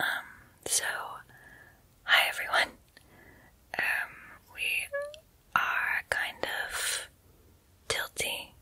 um, so, hi everyone. Um, we are kind of tilty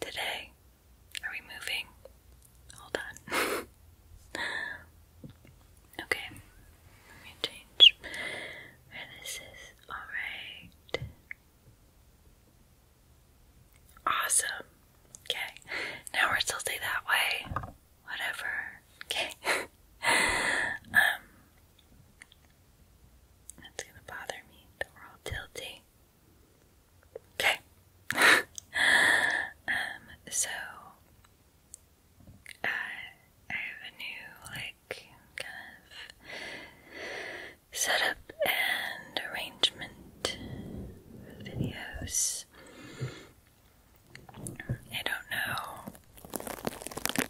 today. Are we moving? Hold on. okay, let me change where this is alright. Awesome. Okay. Now we're tilted that way. Whatever. Okay. um that's gonna bother me we're all tilty. Okay. um, so uh, I have a new like basic kind of setup and arrangement videos. I don't know.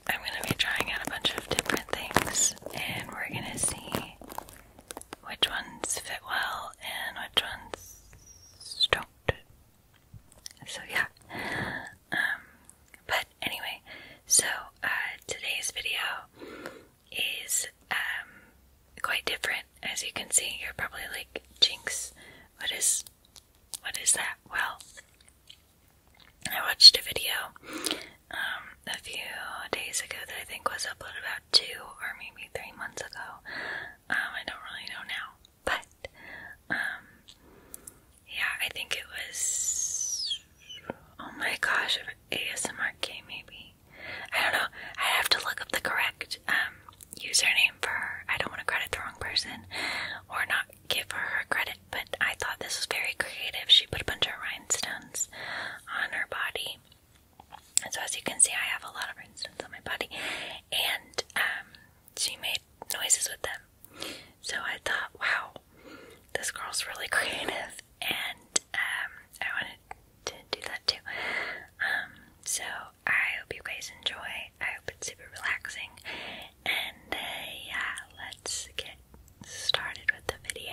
I'm going to be trying out a bunch of different things, and we're going to see which ones fit well and which ones don't. So, yeah, um, but anyway, so uh, today's video is um, quite different. As you can see, you're probably like, "Jinx, what is, what is that?" Well, I watched a video um, a few days ago that I think was uploaded about two or maybe three months ago. I don't really know now, but um, yeah, I think it was. Oh my gosh, ASMRK maybe. I don't know. I have to look up the correct um, username for her. I don't want to credit the wrong person or not give her credit, but I thought this was very creative. She put a bunch of rhinestones on her body. And so, as you can see, I have a lot of rhinestones on my body. And um, she made noises with them. So I thought, wow, this girl's really creative, and um, I wanted to do that too. Um, so I hope you guys enjoy. I hope it's super relaxing, and uh, yeah, let's get started with the video.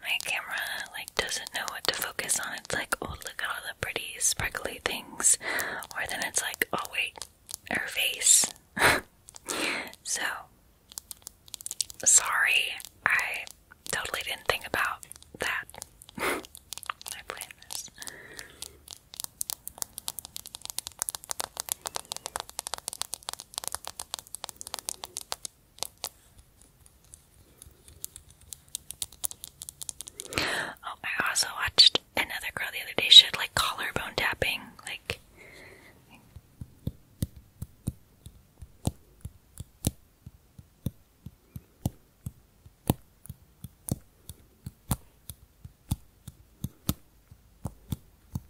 My camera like doesn't know what to focus on. It's like, oh look at all the pretty sparkly things, or then it's like, oh wait, her face. so sorry, I totally didn't think about that. I planned this. Oh, I also watched another girl the other day. She had like collarbone tapping, like.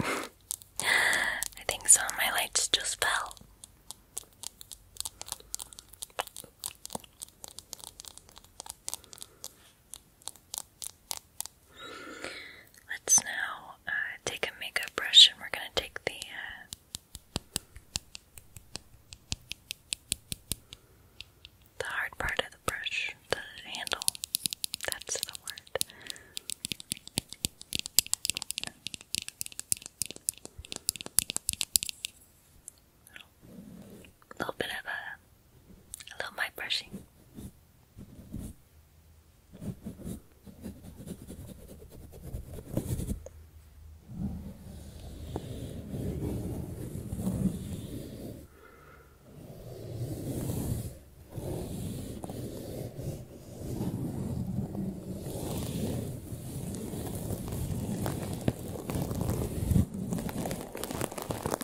I think some of my lights just fell. Let's now uh, take a makeup brush and we're going to take the uh, the hard part of the brush, the handle. That's the word. A little bit of a I love my brushing.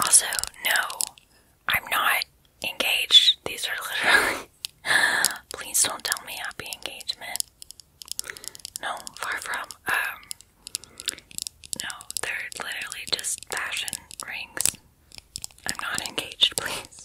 Also, no, I'm not engaged. These are literally. Please don't tell me happy engagement. No, far from. Um, no, they're literally just fashion rings. I'm not engaged, please.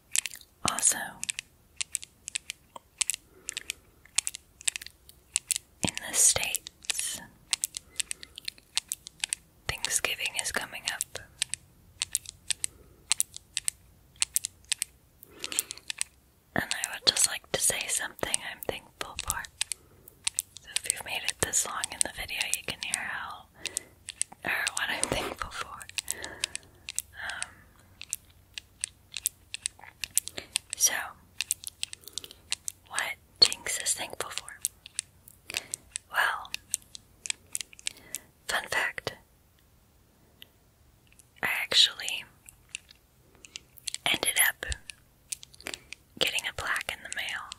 Also, in the States, Thanksgiving is coming up. And I would just like to say something I'm thankful for. So if you've made it this long in the video, you can hear how or what I'm thankful for. Um, so, what Jinx is thankful for? Well, fun fact I actually ended up getting a plaque in the mail.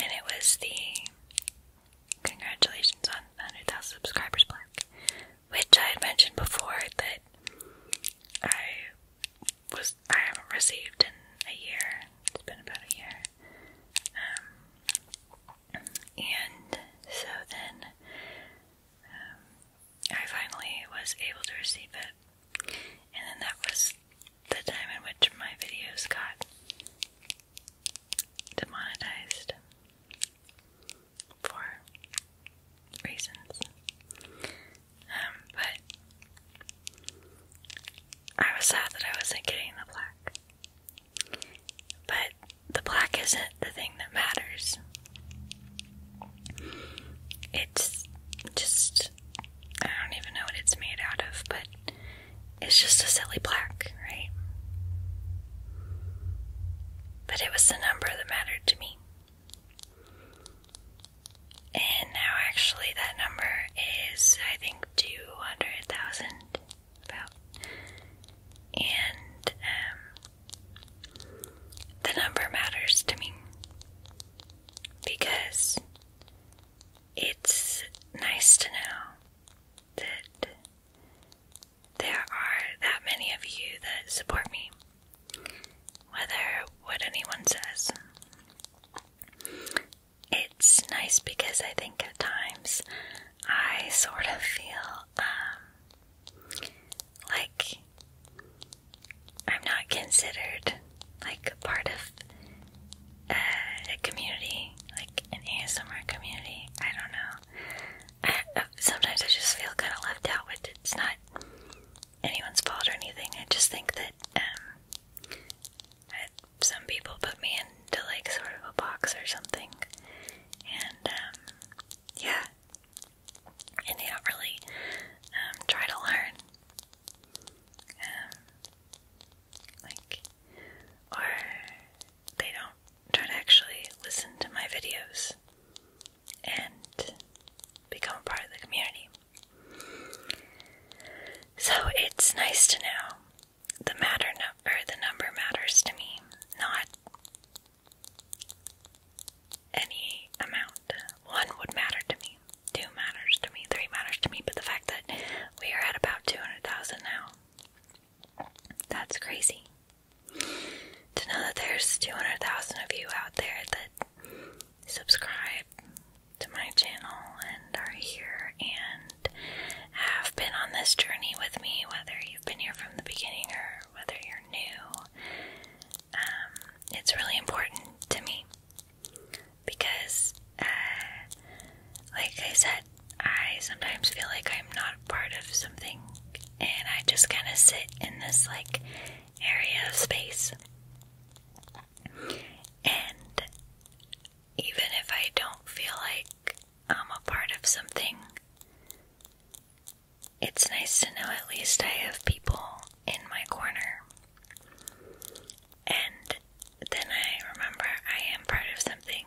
And it was the Congratulations on 100,000 subscribers plaque, which I had mentioned before that I was I haven't received in a year. It's been about a year. Um, and so then um, I finally was able to receive it, and then that was the time in which my videos got demonetized for reasons. Um, but I was sad that I wasn't getting the black. But the black isn't the thing that matters. It's just, I don't even know what it's made out of, but it's just a silly black, right? But it was the number that mattered to me. And now, actually, that number is, I think, 200,000, about. And um, the number matters to me because it's nice to know that there are that many of you that support me, whether what anyone says. It's nice because I think at times I sort of feel um, like I'm not considered like a part of uh, a community, like an ASMR community. I don't know. sometimes I just feel kind of left out, which it's not anyone's fault or anything. I just think um, that some people put me into like sort of a box or something, and um, yeah, and they don't really um, try to learn. like, or they don't try to actually listen to my videos and become a part of the community. So it's nice to know the matter number. or the number matters to me, not any amount. One would matter to me, two matters to me, three matters to me, but the fact that we are at about 200,000 now that's crazy. To know that there's 200,000 of you out there that subscribe to my channel and are here and have been on this journey with me, whether you've been here from the beginning or whether you're new, um, it's really important to me because, uh, like I said, I sometimes feel like I'm not part of something and I just kind of sit in this like area of space. And even if I don't feel like I'm a part of something, it's nice to know at least I have people in my corner. And then I remember I am part of something.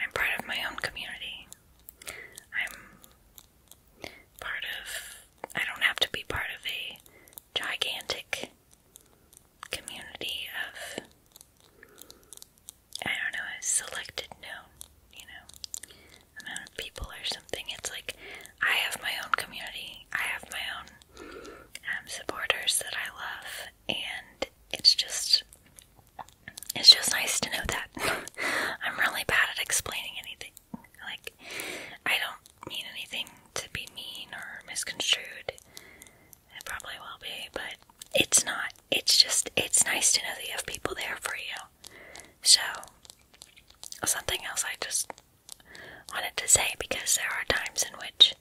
I'm part of my own community. I'm part of, I don't have to be part of a gigantic community of, I don't know, a selected known, you know, amount of people or something. It's like I have my own community, I have my own um, supporters that I love, and it's just it's just nice to know that. I'm really bad at explaining anything. Like, I don't mean anything to be mean or misconstrued. It probably will be, but it's not. It's just, it's nice to know that you have people there for you. So, something else I just wanted to say because there are times in which,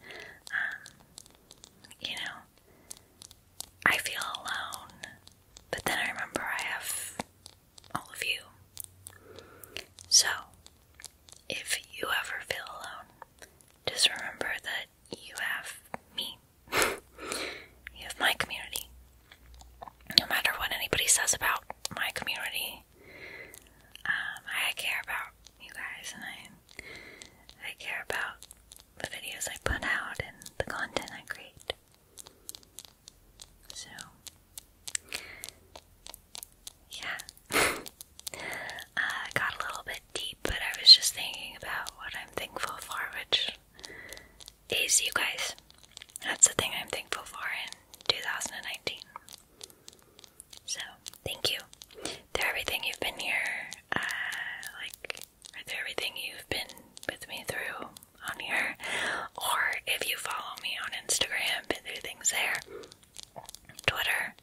um, you know, I feel alone, but then I remember I have all of you. So, if you ever feel alone, just remember that you have me. you have my community. No matter what anybody says about my community, um, I care about you guys and I I care about the videos I put out and the content I create. So, yeah. Uh, I got a little bit deep, but I was just thinking about what I'm thankful for, which is you guys. That's the thing I'm thankful for in 2019. So, thank you. To everything you've been here, uh, like through everything you've been with me through on here, or if you follow me on Instagram, been through things there, Twitter,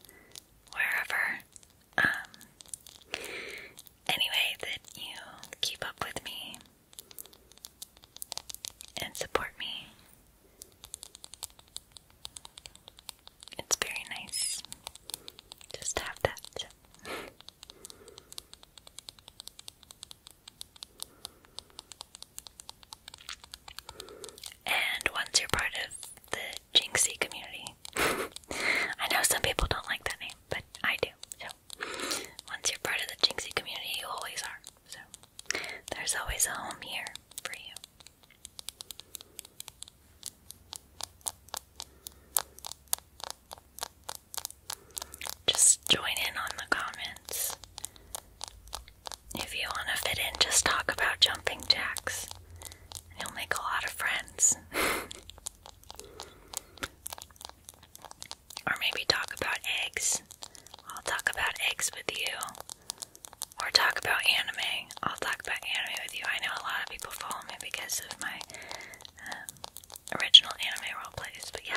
wherever. Um, anyway, that you keep up with me and support me. It's very nice. Just have that. and once you're part of the Jinxie community, I know some people don't like that name, but I do. So once you're part of the Jinxie community, you always are. So there's always a home here for you. Just join in on the comments. If you want to fit in, just talk about jumping jacks. You'll make a lot of friends. or maybe talk about eggs. I'll talk about eggs with you. Or talk about anime. I'll talk about anime with you. I know a lot of people fall only because of my um, original anime roleplays, but yeah.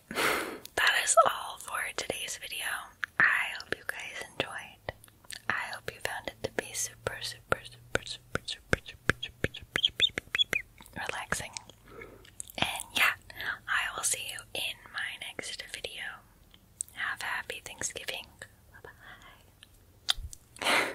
Alright, that is all for today's video. I hope you guys enjoyed. I hope you found it to be super, super, super, super, super, super, super, super, super, super relaxing. And yeah, I will see you in my next video. Have a happy Thanksgiving. Bye bye.